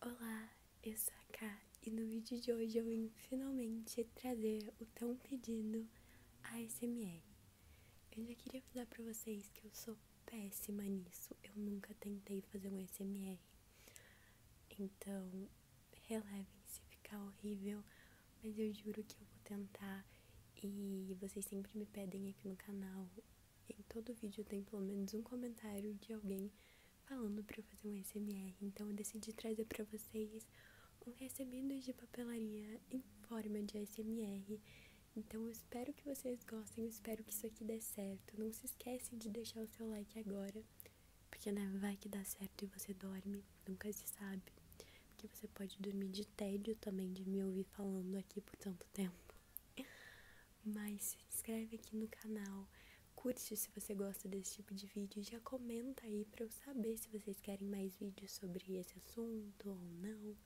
Olá, eu sou a Ká e no vídeo de hoje eu vim finalmente trazer o tão pedido ASMR. Eu já queria falar pra vocês que eu sou péssima nisso, eu nunca tentei fazer um ASMR. Então, relevem se ficar horrível, mas eu juro que eu vou tentar e vocês sempre me pedem aqui no canal. Em todo vídeo tem pelo menos um comentário de alguém falando para fazer um SMR, então eu decidi trazer para vocês um recebido de papelaria em forma de SMR. Então eu espero que vocês gostem, espero que isso aqui dê certo. Não se esquece de deixar o seu like agora, porque né, vai que dá certo e você dorme, nunca se sabe. Porque você pode dormir de tédio também de me ouvir falando aqui por tanto tempo mas se inscreve aqui no canal, curte se você gosta desse tipo de vídeo, já comenta aí para eu saber se vocês querem mais vídeos sobre esse assunto ou não.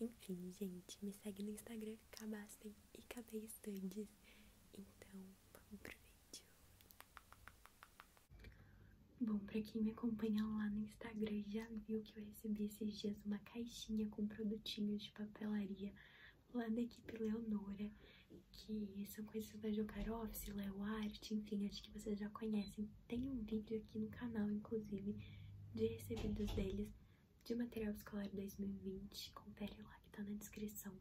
Enfim, gente, me segue no Instagram, Cabastem e Cabeistandes. Então, vamos pro vídeo. Bom, pra quem me acompanha lá no Instagram já viu que eu recebi esses dias uma caixinha com produtinhos de papelaria lá da equipe Leonora, que são conhecidos da Jogar Office, Leo enfim, acho que vocês já conhecem. Tem um vídeo aqui no canal, inclusive, de recebidos deles, de material escolar 2020, confere lá que tá na descrição.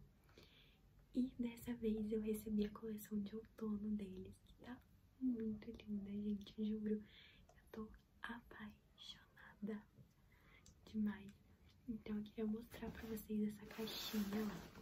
E dessa vez eu recebi a coleção de outono deles, que tá muito linda, gente, juro. Eu tô apaixonada demais. Então eu queria mostrar pra vocês essa caixinha, lá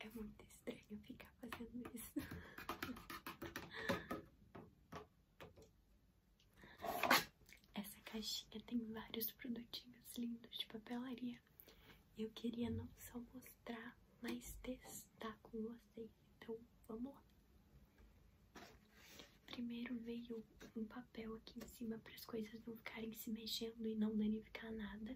é muito estranho ficar fazendo isso. Essa caixinha tem vários produtinhos lindos de papelaria. Eu queria não só mostrar, mas testar com vocês. Então, vamos lá. Primeiro veio um papel aqui em cima para as coisas não ficarem se mexendo e não danificar nada. É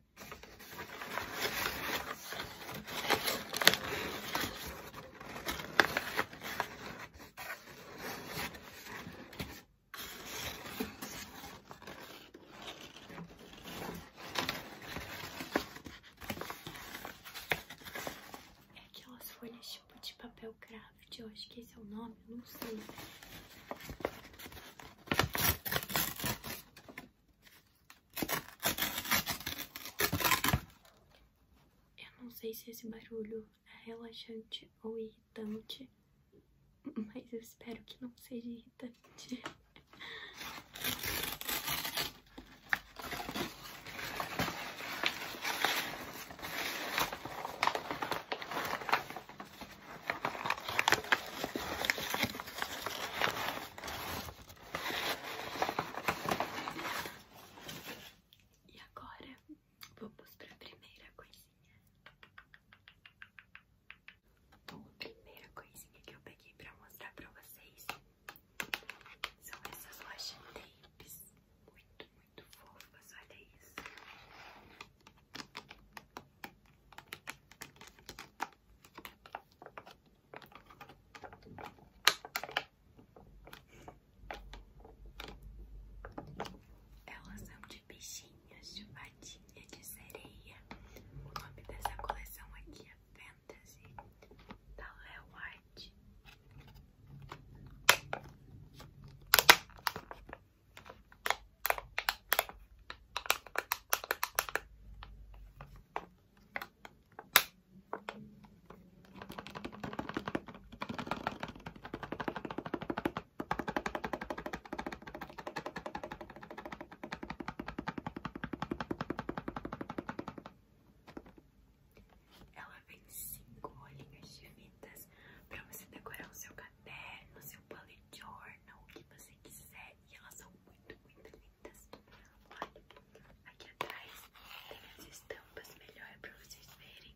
aquelas folhas tipo de papel craft, de hoje que esse é o nome, não sei. Eu não sei se esse barulho é relaxante ou irritante, mas eu espero que não seja irritante. E agora vou para a primeira coisinha. a primeira coisinha que eu peguei para mostrar para vocês são essas washi tapes muito, muito fofas. Olha isso. Elas são de bichinhos, de patinha, de sereia. O nome dessa coleção aqui é Fantasy, da Léo ela vem cinco rolinhas de fitas pra você decorar o seu cabelo pé, no seu bullet journal, o que você quiser. E elas são muito, muito lindas. Olha, aqui atrás tem as estampas, melhor é pra vocês verem.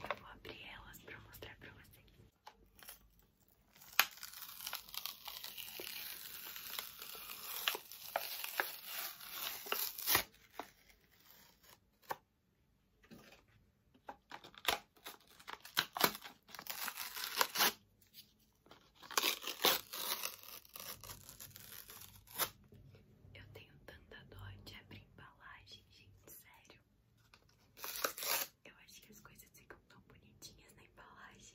vou abrir elas para mostrar para vocês. Eu tenho tanta dor de abrir embalagem, gente, sério. Eu acho que as coisas ficam tão bonitinhas na embalagem.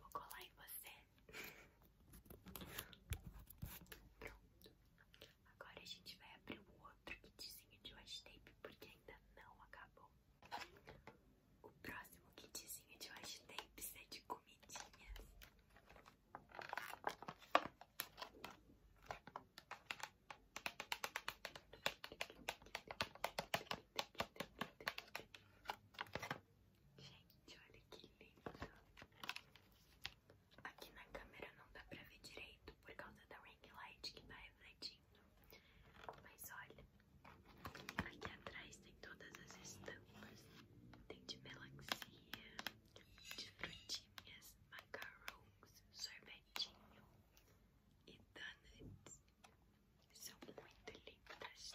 Vou colar em você. Pronto. Agora a gente vai abrir o outro kitzinho de washi tape porque ainda não acabou. O próximo kitzinho de washi tapes é de comidinhas. Gente, olha que lindo. Aqui na câmera não dá pra ver direito por causa da ring light que tá refletindo. Mas olha, Aqui atrás tem todas as estampas. Tem de melancia, de frutinhas, macarons, sorvetinho e donuts. São muito lindas.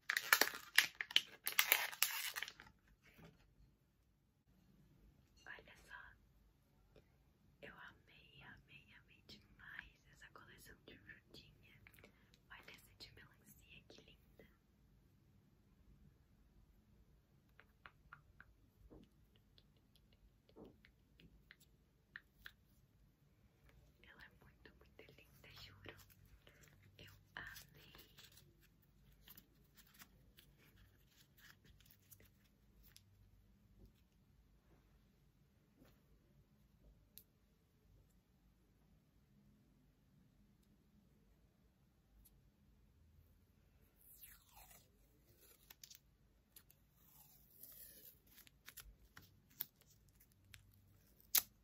Olha só, eu amei, amei, amei demais essa coleção de frutinha. Olha essa de melancia, que linda. Ela é muito, muito linda, juro. Eu amei.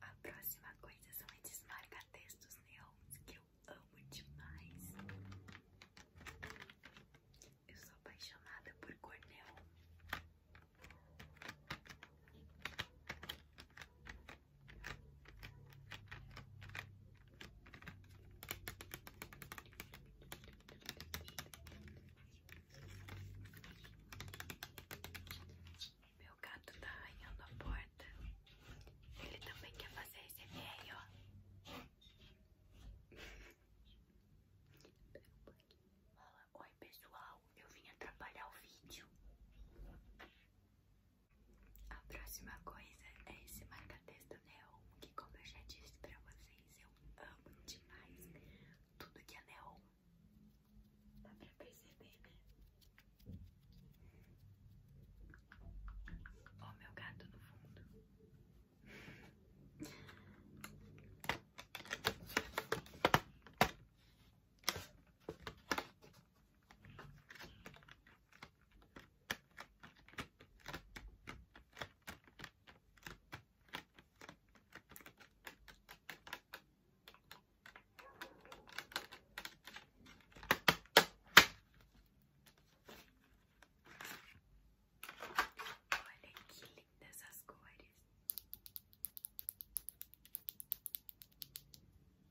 A próxima coisa são esses marca-textos neons que eu amo demais. Eu sou apaixonada por cor meu gato tá arranhando a porta. Ele também quer fazer esse meio, ó. Fala, oi pessoal, eu vim atrapalhar o vídeo. A próxima coisa é esse marca-texto neon, que como eu já disse pra vocês, eu amo demais tudo que é neon. Dá pra perceber, né? Ó, meu gato no fundo. Olha que lindas essas cores.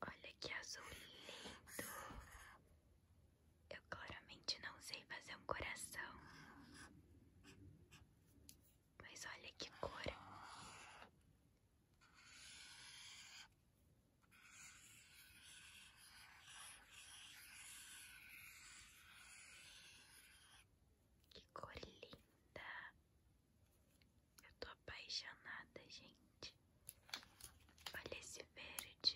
Olha que azul lindo. Eu claramente não sei fazer um coração. Mas olha que cor. Que cor linda. Eu tô apaixonada, gente. Olhe esse verde.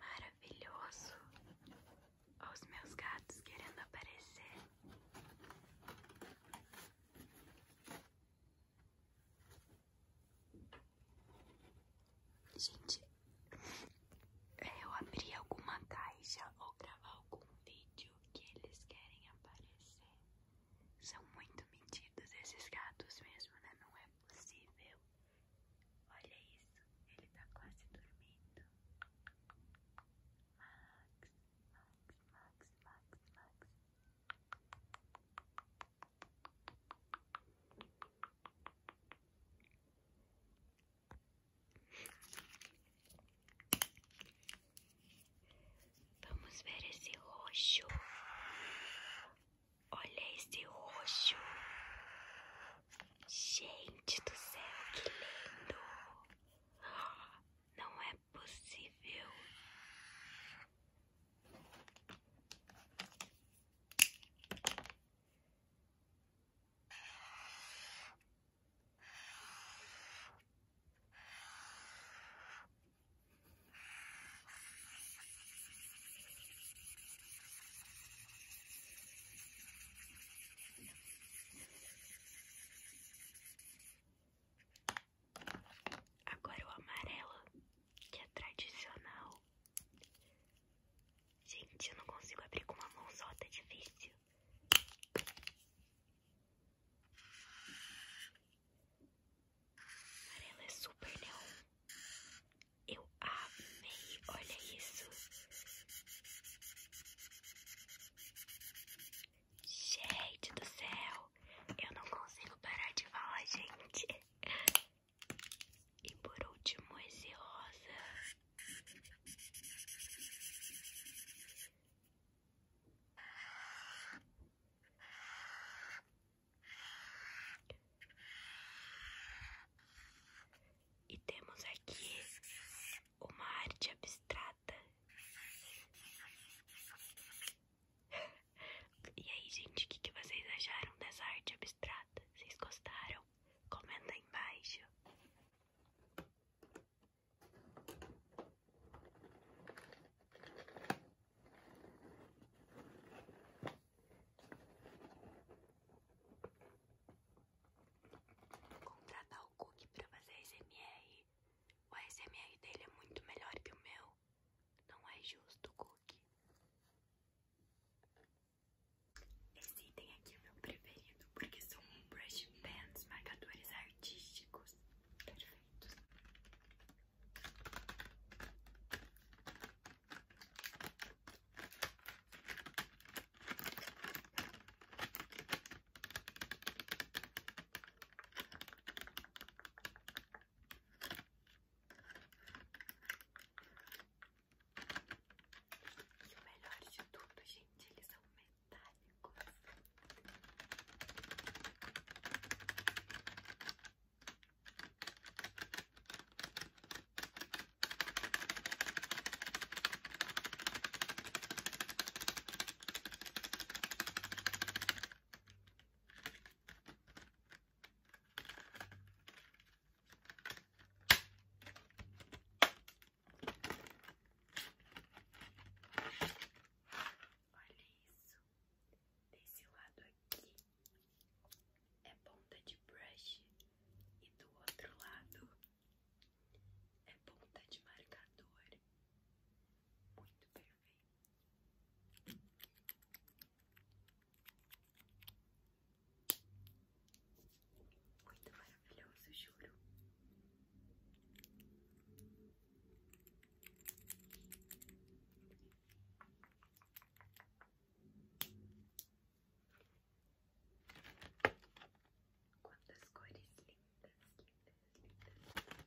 Maravilhoso. os meus gatos querendo aparecer. Gente, é, eu abrir alguma caixa ou gravar algum vídeo que eles querem aparecer. São muito mentidos esses gatos mesmo, né? Não é possível. Olha isso, ele tá quase dormindo. Max, Max, Max, Max, Max. Vamos ver esse roxo. Olha esse roxo. Gente do céu, que lindo! Não é possível. Agora o amarelo, que é tradicional. Gente, eu não consigo abrir com uma mão só, tá difícil. Amarelo é super neon. Eu amei, olha isso. Gente do céu, eu não consigo parar de falar, gente. E por último, esse rosa. E temos aqui uma arte abstrata. E aí, gente, o que, que vocês acharam dessa arte abstrata? se trata. Vocês gostaram? Comenta embaixo. Contratar o Cook para fazer SMR. O SMR dele é muito melhor que o meu. Não é justo, Cook. Esse item aqui é meu preferido porque são brush pens, marcadores artísticos perfeitos. E o melhor de tudo, gente, eles são metálicos. Olha isso. Desse lado aqui é ponta de brush e do outro lado é ponta de marcador. Muito perfeito. Muito maravilhoso, juro. Quantas cores lindas, lindas, lindas.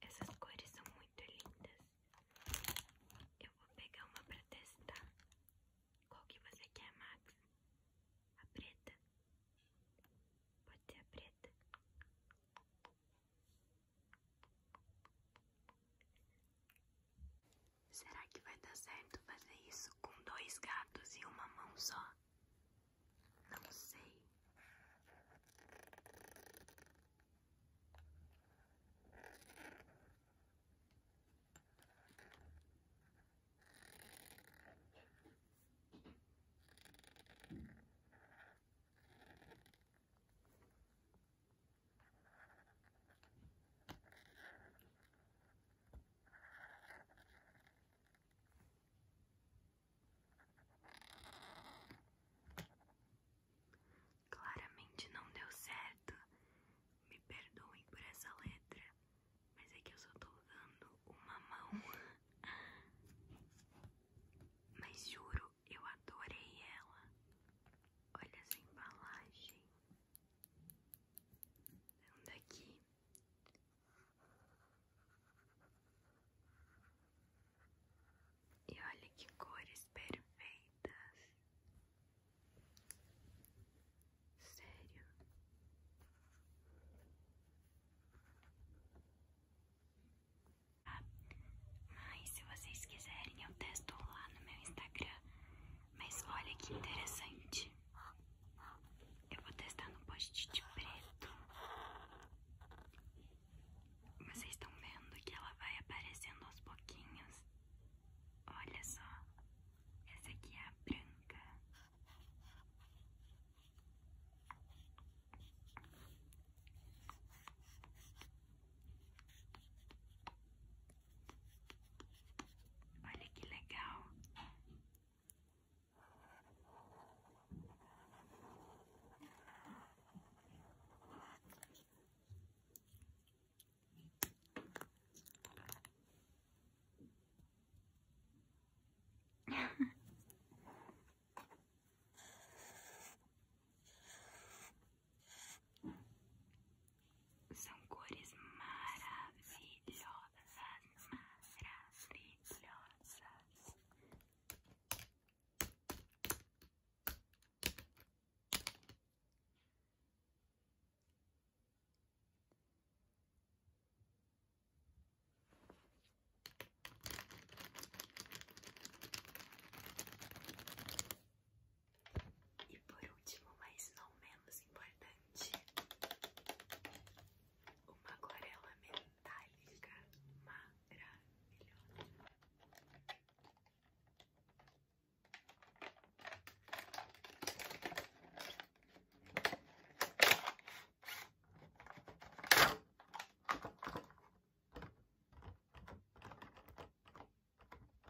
Essas cores são muito lindas. Eu vou pegar uma para testar. Qual que você quer, Max? A preta? Pode ser a preta. Será que vai dar certo fazer isso com dois gatos e uma mão só? Não sei. Claramente não deu certo. Me perdoem por essa letra, mas é que eu só tô usando uma mão. Mas juro, eu adorei ela. Olha essa embalagem. É um daqui e olha que cores perfeitas, sério. Ah, mas se vocês quiserem, eu testo lá no meu Instagram. Mas olha que interessante. Eu vou testar no post de preto. Vocês estão vendo que ela vai aparecendo aos pouquinhos? Olha só. Essa aqui é a branca. Olha que legal. São cores maravilhosas, maravilhosas. E por último, mas não menos importante, uma aquarela metálica maravilhosa. Essa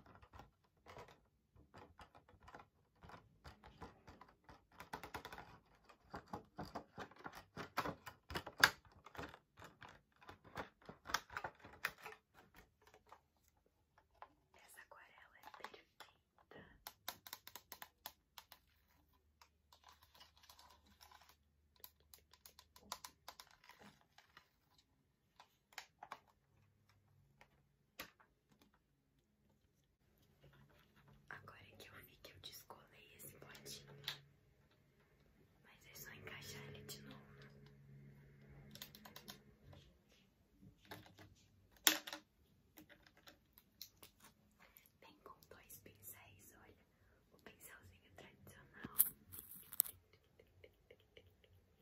aquarela é perfeita. Agora que eu vi que eu descolei esse potinho, mas é só encaixar ele de novo. Tem com dois pincéis, olha, o pincelzinho tradicional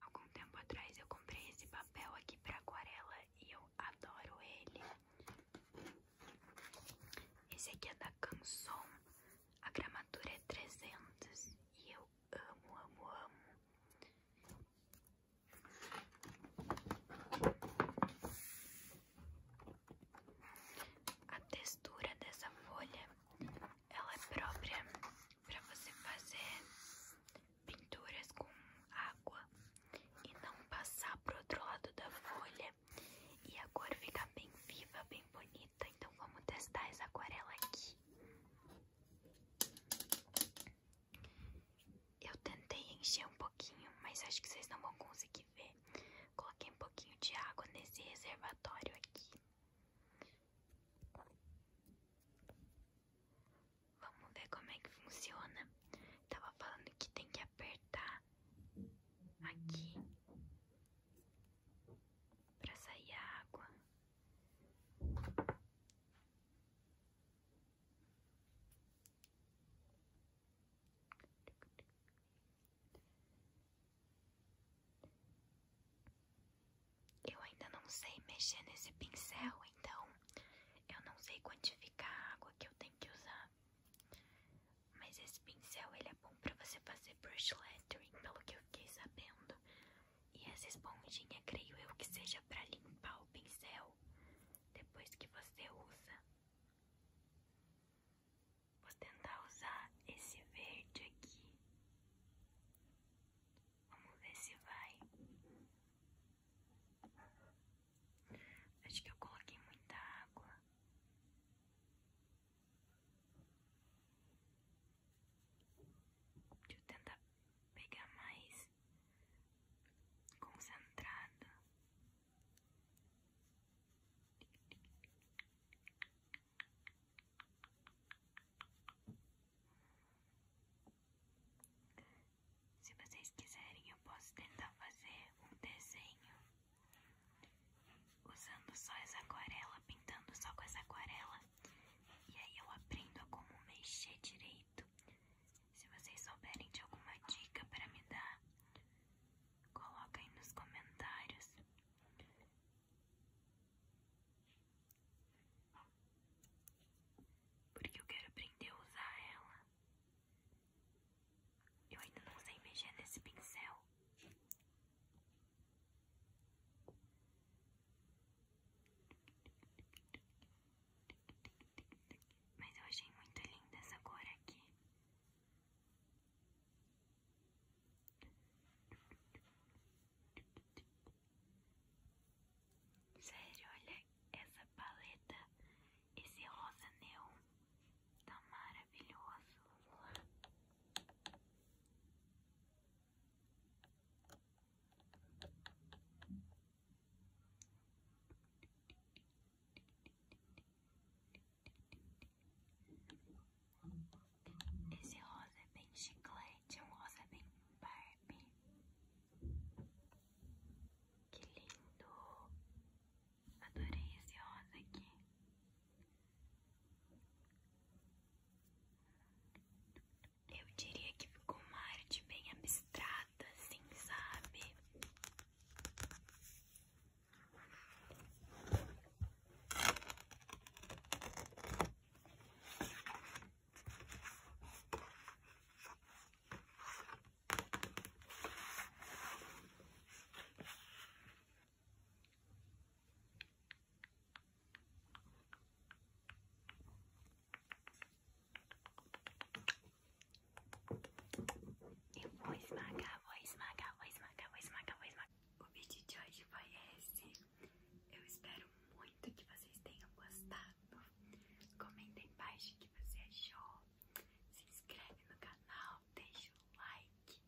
Algum tempo atrás eu comprei esse papel aqui para aquarela e eu adoro ele. Esse aqui é da Canson, a gramatura é 300 e eu amo, amo, amo. A textura dessa folha ela é própria para você fazer pinturas com água e não passar pro outro lado da folha e a cor fica bem viva, bem bonita. Então vamos testar essa aquarela aqui. Eu tentei encher um pouquinho, mas acho que vocês não vão conseguir ver. Coloquei um pouquinho de água nesse reservatório aqui. Vamos ver como é que funciona. Tava falando que tem que apertar aqui para sair a água. Eu ainda não sei mexer nesse pincel, então eu não sei quantificar a água que eu tenho que usar. Mas esse pincel ele é bom para você fazer brush lettering, pelo que eu fiquei sabendo. E essa esponjinha, creio eu, que seja para limpar o pincel depois que você usa. Vou tentar usar esse verde aqui. Vamos ver se vai. Acho que eu coloquei muita água. Deixa eu tentar pegar mais concentrado. Se vocês quiserem, eu posso tentar fazer um desenho usando só essa aquarela, pintando só com essa aquarela. E aí eu aprendo a como mexer direito. Se vocês souberem de alguma dica para me dar, coloca aí nos comentários. Porque eu quero aprender a usar ela. Eu ainda não usei mexer nesse pincel. Mas eu achei muito linda essa cor aqui. Sério, olha essa paleta, esse rosa neon, tá maravilhoso. Esse rosa é bem chiclete, é um rosa bem Barbie. Que lindo! Adorei esse rosa aqui. Eu diria que ficou uma arte bem abstrata, assim, sabe? voice maga, voice maga, voice maga, voice maga, voice maga. O vídeo de hoje foi esse. Eu espero muito que vocês tenham gostado. Comenta embaixo o que você achou. Se inscreve no canal, deixa o like.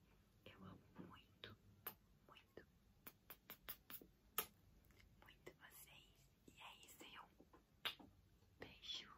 Eu amo muito, muito, muito vocês. E é isso, aí, um beijo.